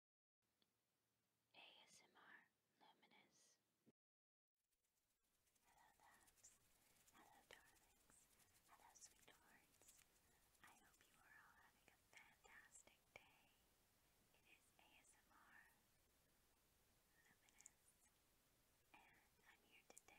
ASMR Luminous. Hello, loves. Hello, darlings. Hello, sweethearts. I hope you are all having a fantastic day. It is ASMR Luminous. And I'm here today, to do some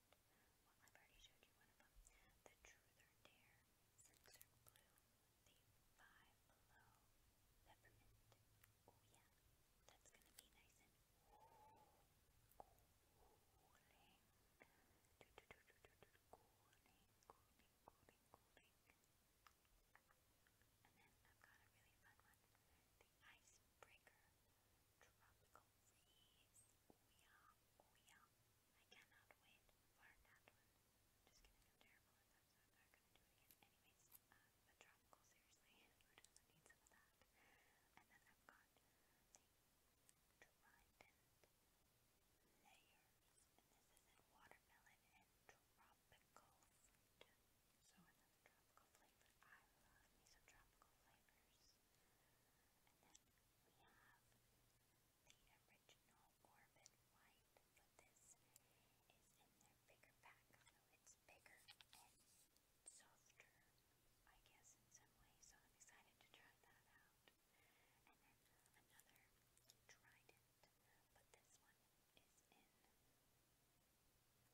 bond. Well, I've already showed you one of them. The Truth or Dare, Censored Blue, the Five Below, Peppermint. Oh yeah, that's gonna be nice and cooling. Do, do, do, do, do, do, cooling, cooling, cooling, cooling. And then I've got a really fun one the icebreaker, tropical freeze, oh yeah, I cannot wait for that one, just going terrible if that's not, not gonna do it again, anyways, um, tropical, seriously, who does need some of that, and then I've got trident layers, this is in watermelon and tropical fruit, another tropical flavor. I love me tropical flavors. And then we have the original Orbit White, but this is in their bigger pack, although it's bigger and softer, I guess, in some ways. So I'm excited to try that out. And then another Trident, but this one is in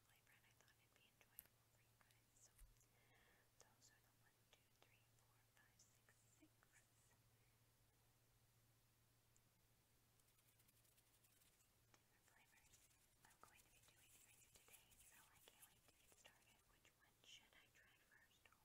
boyfriend, I thought it'd be enjoyable for you So one, two, three, four, five, six, six. flavors I'm going to be doing today, so I can't wait to get started. Which one should I try first? Oh so,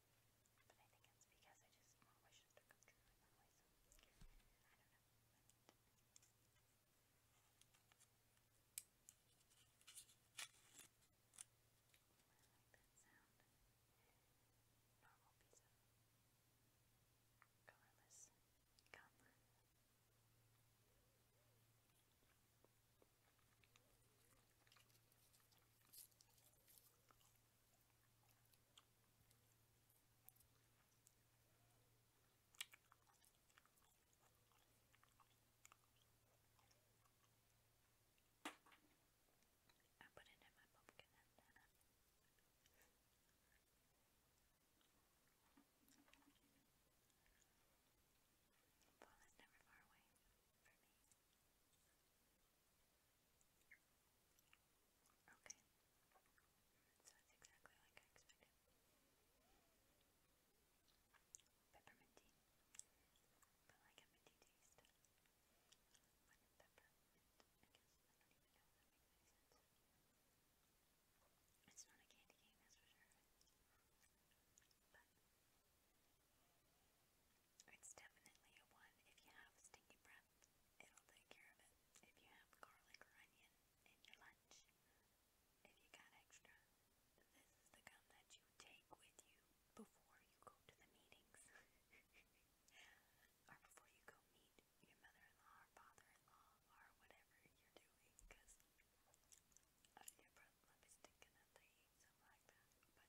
But I think it's because I just want wishes to come true in that way, so I don't know. I like that sound. Normal piece of colorless gum. I put it in my pumpkin and then Fall uh, is never far away for me. Okay. So it's exactly like I expected. Peppermint tea. But like a minty taste. With peppermint. I guess I don't even know if that makes any sense. It's not a candy cane, that's for sure. But it's definitely a one. If you have stinky breath, it'll take care of it. If you have garlic or onion in your lunch, if you got extra, this is the gum that you take with you before you go to the meetings. or before you go meet your mother-in-law or father-in-law or whatever you're doing, because your breath might stinking after you like that.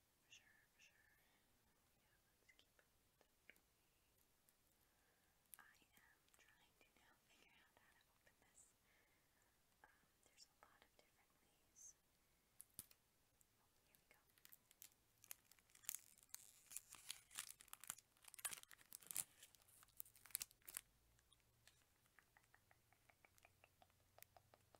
For sure, for sure. Yeah, let's keep it I am trying to now figure out how to open this. Um, there's a lot of different ways. here we go.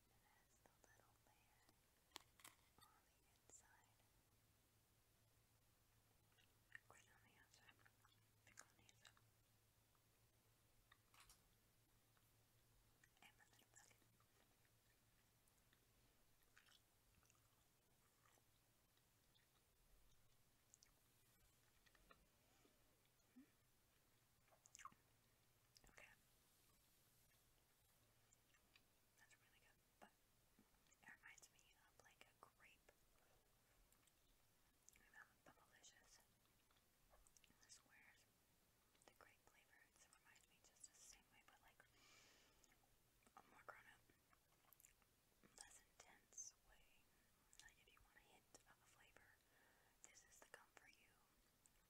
It has the little layer on the inside. Of course, on the outside. Pick on the inside. And my little bucket. It Okay. That's really good. it reminds me of like a grape. I remember Bubblicious. This the grape flavor. It me just the same way, but like a more grown up, less intense way. Like if you want a hint of a flavor, this is the Come For You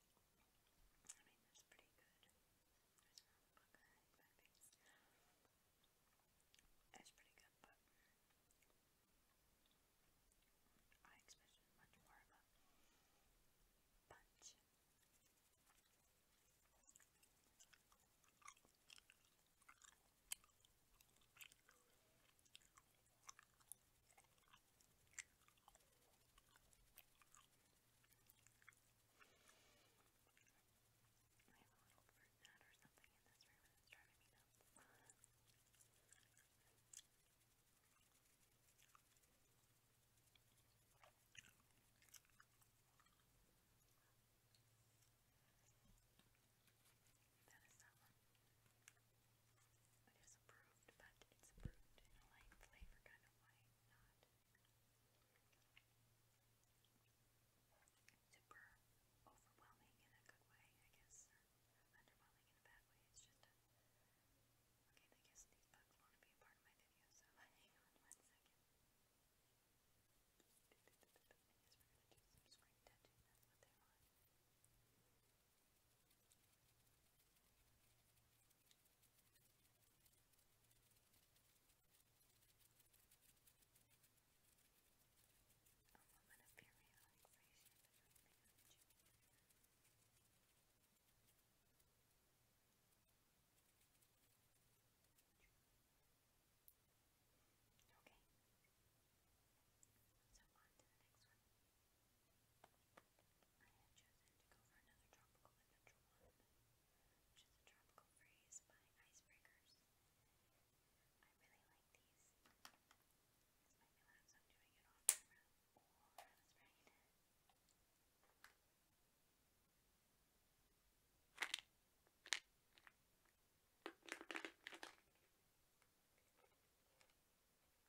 I mean, that's pretty good. It's not pretty good, but I expected much more of a punch. I have a little fruit nut or something in this room and it's driving me nuts. That is that one. It is approved, but it's approved in a light flavor kind of way, not super overwhelming in a good way, I guess, or in a bad way. It's just I guess these bugs want to be a part of my video, so hang on one second. I guess we're gonna do some That's what they want. A moment of pure relaxation between the two. Okay. So on to the next one. I have chosen to go for another tropical adventure one, which is a tropical phrase by Icebreakers. I really like these. This might be loud, so I'm doing it off camera. Oh, that was right. I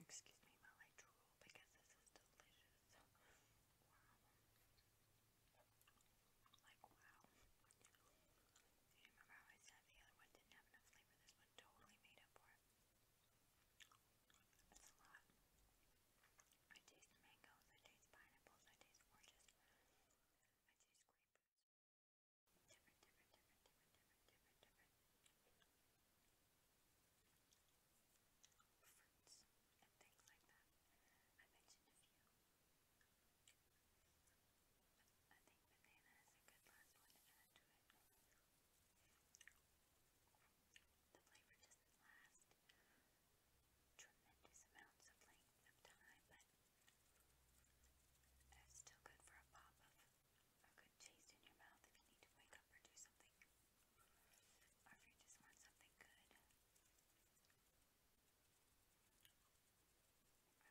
Excuse me while drool because this is delicious. Like, wow. You remember how I said the other one didn't have enough flavor? This one totally made up for it. It's a lot. I taste mangoes, I taste pineapples, I taste oranges, I taste grapefruits different, different, fruits and things like that. I mentioned a few. I think banana is a good last one to add to it. The flavor doesn't tremendous amounts of length of time, that's still good for a pop of a good taste in your mouth if you need to wake up or do something. Or if you just want something good. I don't mind it. I don't mind it at all. I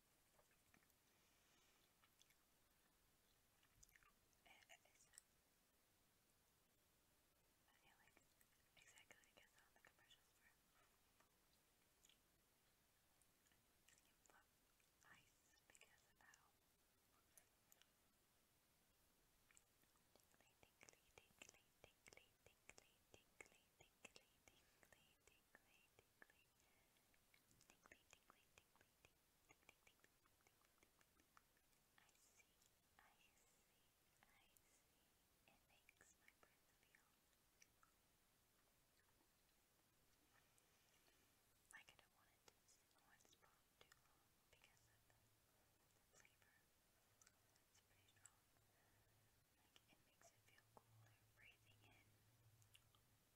It's, I exactly Tingly, tingly, I see, I see, I see. It makes my breath feel like I don't want it to sit in one spot too long because of the, flavor. It's pretty strong. Like it makes it feel cooler breathing in.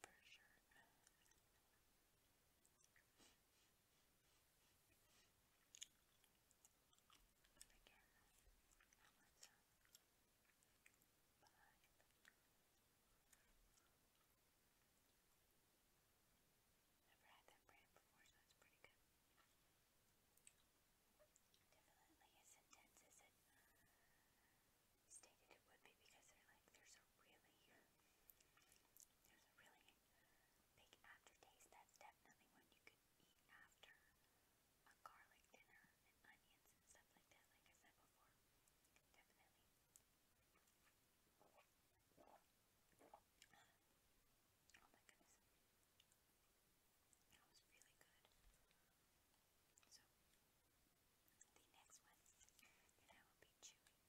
for sure. again, helmets up Never had that brand before, so it's pretty good. Definitely as intense as it stated it would be because they're like, they're so really, there's a really big aftertaste. That's definitely one you could eat after a garlic dinner and onions and stuff like that, like I said before. Definitely. Oh my goodness. That was really good. So, the next one that I will be chewing for you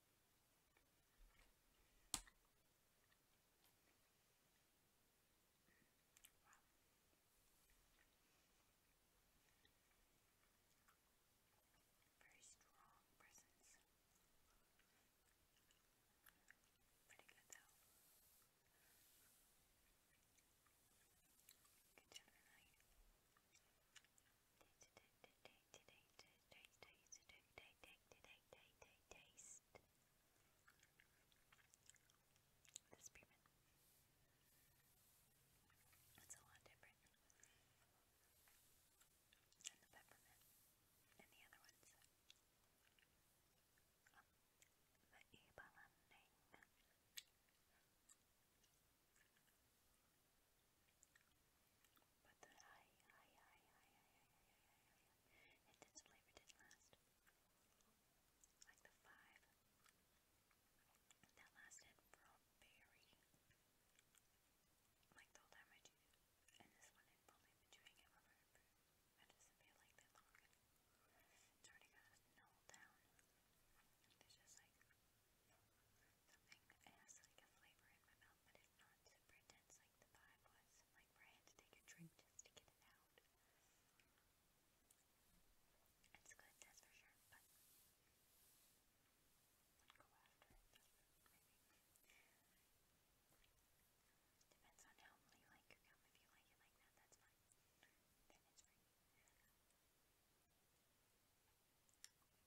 Very strong presence. Pretty good though. Good job tonight taste this pyramid. It's a lot different than the peppermint and the other ones. the Eva but the high, high, high, high, high, high, high, high, high, intense flavor didn't last. Like the five, that lasted for a very, like the whole time And this one, i probably been it over, I just feel like that long. It's already got us null It's just like something it has like a flavor in my mouth, but it's not super intense like the pie was. Like I had to take a drink just to get it out. It's good, that's for sure, but Depends on how you like your If you like it like that, that's fine. Then it's free.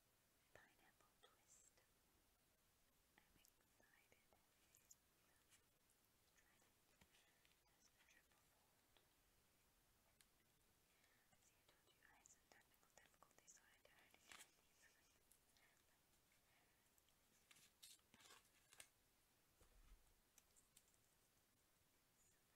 pineapple twist. I'm excited. Try it. That's the triple fold. See, I told you I had some technical difficulties, so I tried to get these. So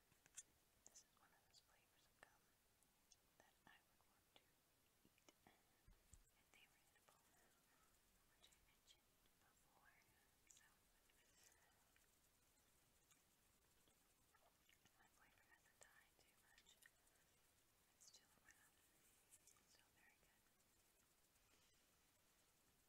this is one of those flavors of gum that I would want to eat if they were edible, which I mentioned before. So, my flavor doesn't die too much. It's still around. It's still very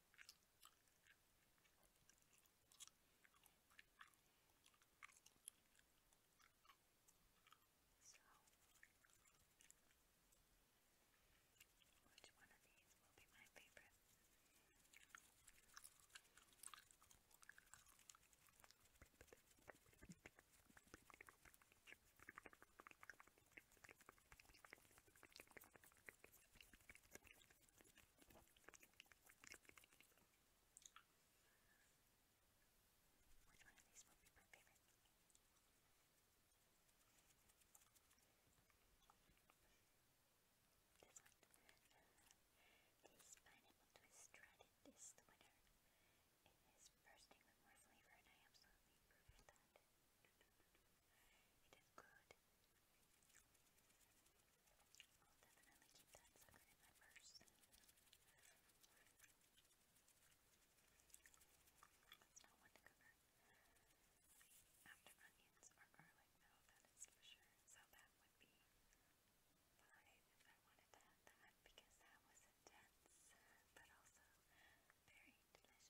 So, which one of these will be my favorite? Which one of these will be my favorite? This one. this pineapple twist tried it this winter. It is bursting with more flavor and I absolutely approve of that. It is good. definitely keep that sucker in my purse. That's not one to cover. After onions or garlic, no, that is for sure. So that would be five if I wanted to that because that was intense, but also very delicious.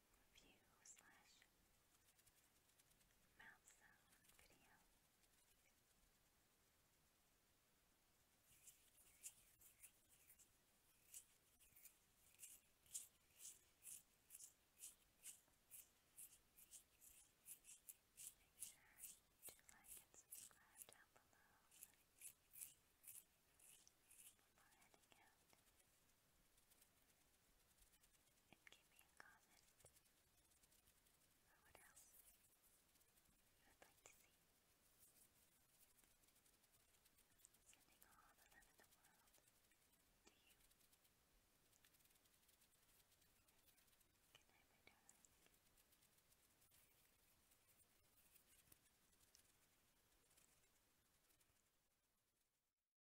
review slash mouth sound video. Make sure to like and subscribe down below. Before heading out, and give me a comment or what else you would like to see. Sending all the love in the world to you. Good night, my darling.